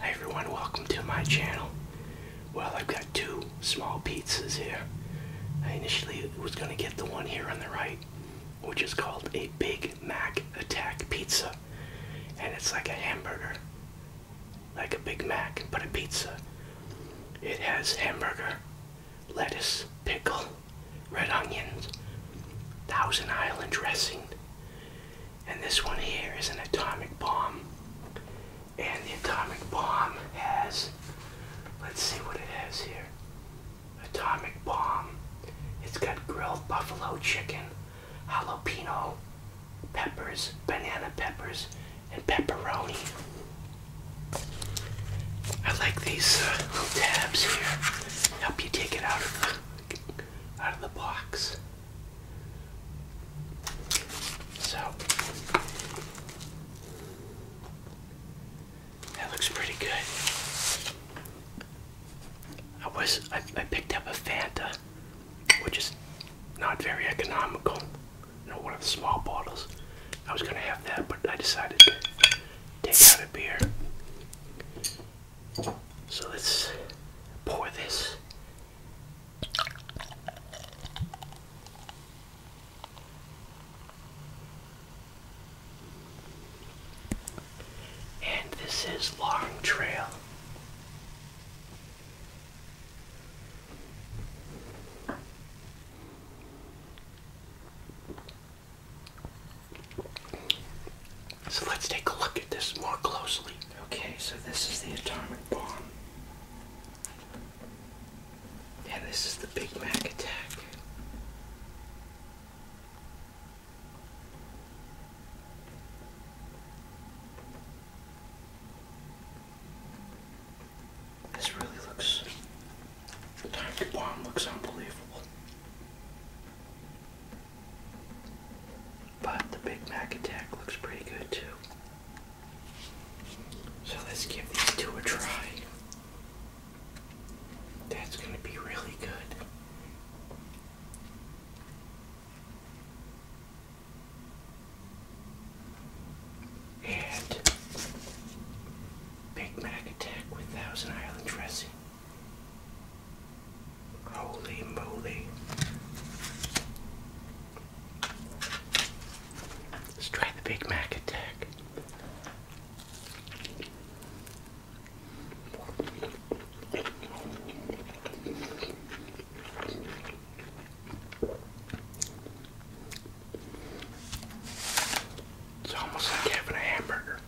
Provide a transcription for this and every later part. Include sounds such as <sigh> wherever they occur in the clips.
Hey everyone, welcome to my channel. Well, I've got two small pizzas here. I initially was going to get the one here on the right, which is called a Big Mac Attack Pizza. And it's like a hamburger, like a Big Mac, but a pizza. It has hamburger, lettuce, pickle, red onions, Thousand Island dressing, and this one here is an atomic bomb. And the atomic bomb has, let's see what it has here. Atomic bomb. It's got grilled buffalo chicken, jalapeno peppers, banana peppers, and pepperoni. I like these uh, little tabs here. Help you take it out of the out of the box. So that looks pretty good. I was I, picked up a Fanta, which is not very economical. You know, one of the small bottles. I was gonna have that, but I decided to take out a beer. So let's pour this. And this is Long Trail. So let's take a look at this more closely. Okay, so this is the atomic bomb. And this is the Big Mac attack. This really looks. The atomic bomb looks unbelievable. But the Big Mac attack looks pretty good too. So let's give these two a try. That's going to be really good. And Big Mac attack with Thousand Island dressing. Holy moly. Let's try the Big Mac attack. It's almost like having a hamburger.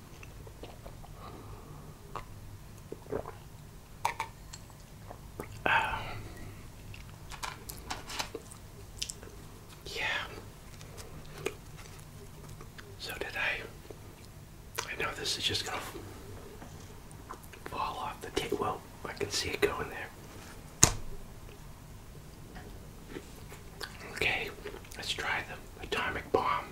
<sighs> yeah. So did I. I know this is just gonna fall off the table. Well, I can see it going there. Okay, let's try the atomic bomb.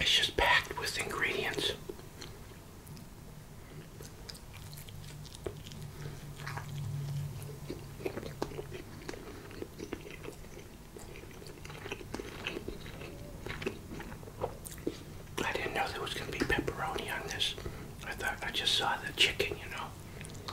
It's just packed with ingredients. I didn't know there was going to be pepperoni on this. I thought I just saw the chicken, you know.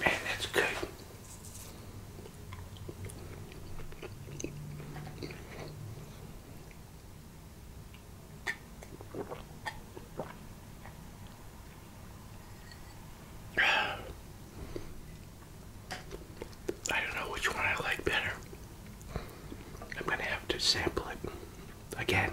Man, that's good. <sighs> I don't know which one I like better. I'm gonna have to sample it again.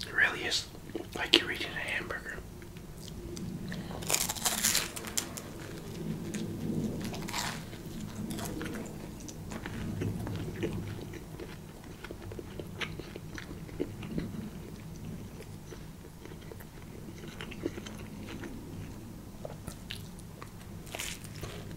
It really is like you're eating a hamburger.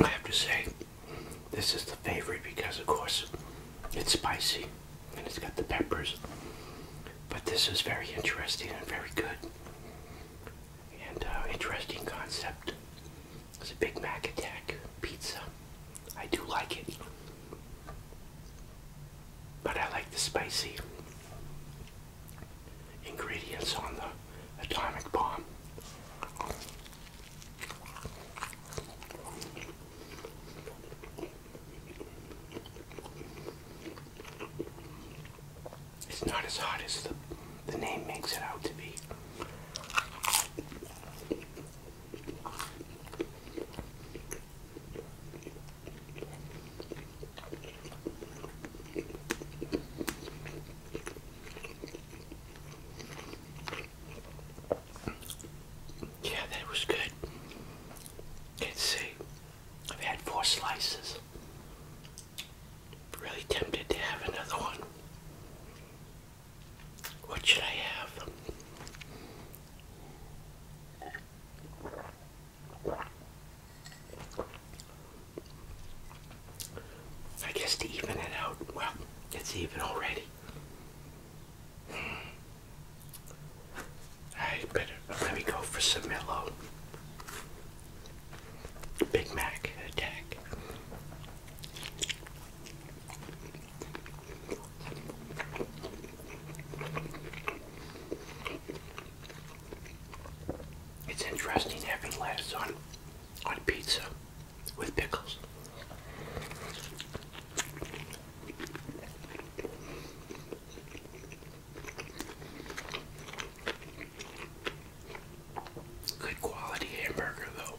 I have to say, this is the favorite because, of course, it's spicy and it's got the peppers. But this is very interesting and very good. And uh, interesting concept. It's a Big Mac attack pizza. I do like it but I like the spicy ingredients on the atomic bomb. It's not as hot as the the name makes it out to be. Yeah, that was good. Let's see. I've had four slices. Really tempted to have another one. What should I have? I guess to even it out, well, it's even already. I better let me go for some mellow Big Mac attack. It's interesting having lettuce on on pizza with pickles. Good quality hamburger though.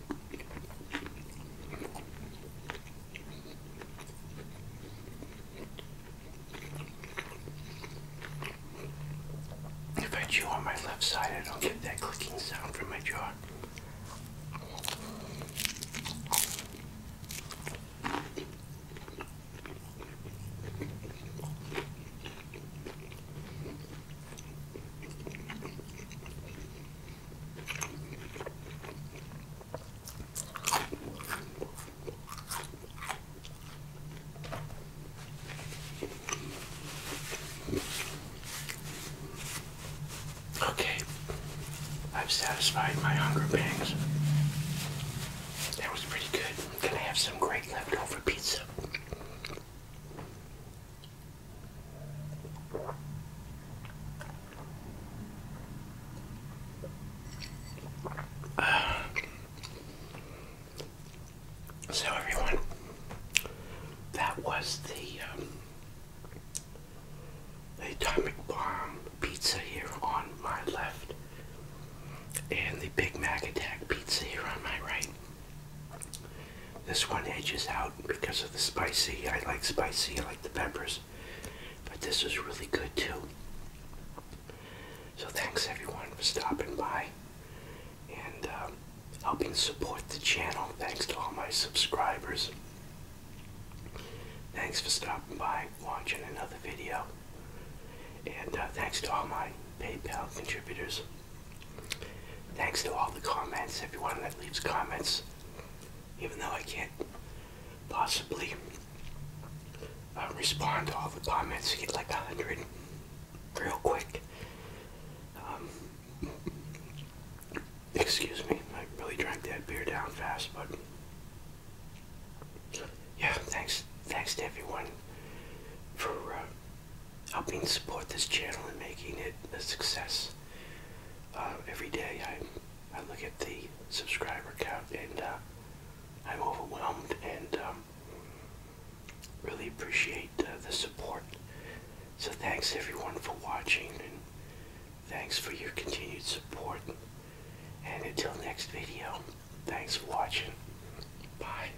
If I chew on my left side, I don't get that clicking sound from my jaw. Okay, I've satisfied my hunger pangs. That was pretty good. I'm gonna have some great leftover pizza. So, everyone, that was the, um, the Atomic Bomb pizza here on my left, and the Big Mac Attack pizza here on my right. This one edges out because of the spicy. I like spicy, I like the peppers. But this is really good too. So thanks everyone for stopping by and um, helping support the channel. Thanks to all my subscribers. Thanks for stopping by, watching another video. And uh, thanks to all my PayPal contributors. Thanks to all the comments, everyone that leaves comments, even though I can't possibly uh, respond to all the comments, get like a hundred real quick. Um, excuse me, I really drank that beer down fast, but yeah, thanks, thanks to everyone for uh, helping support this channel and making it a success. Uh, every day I, I look at the subscriber count and uh, I'm overwhelmed and um, really appreciate the support. So thanks everyone for watching and thanks for your continued support. And until next video, thanks for watching. Bye.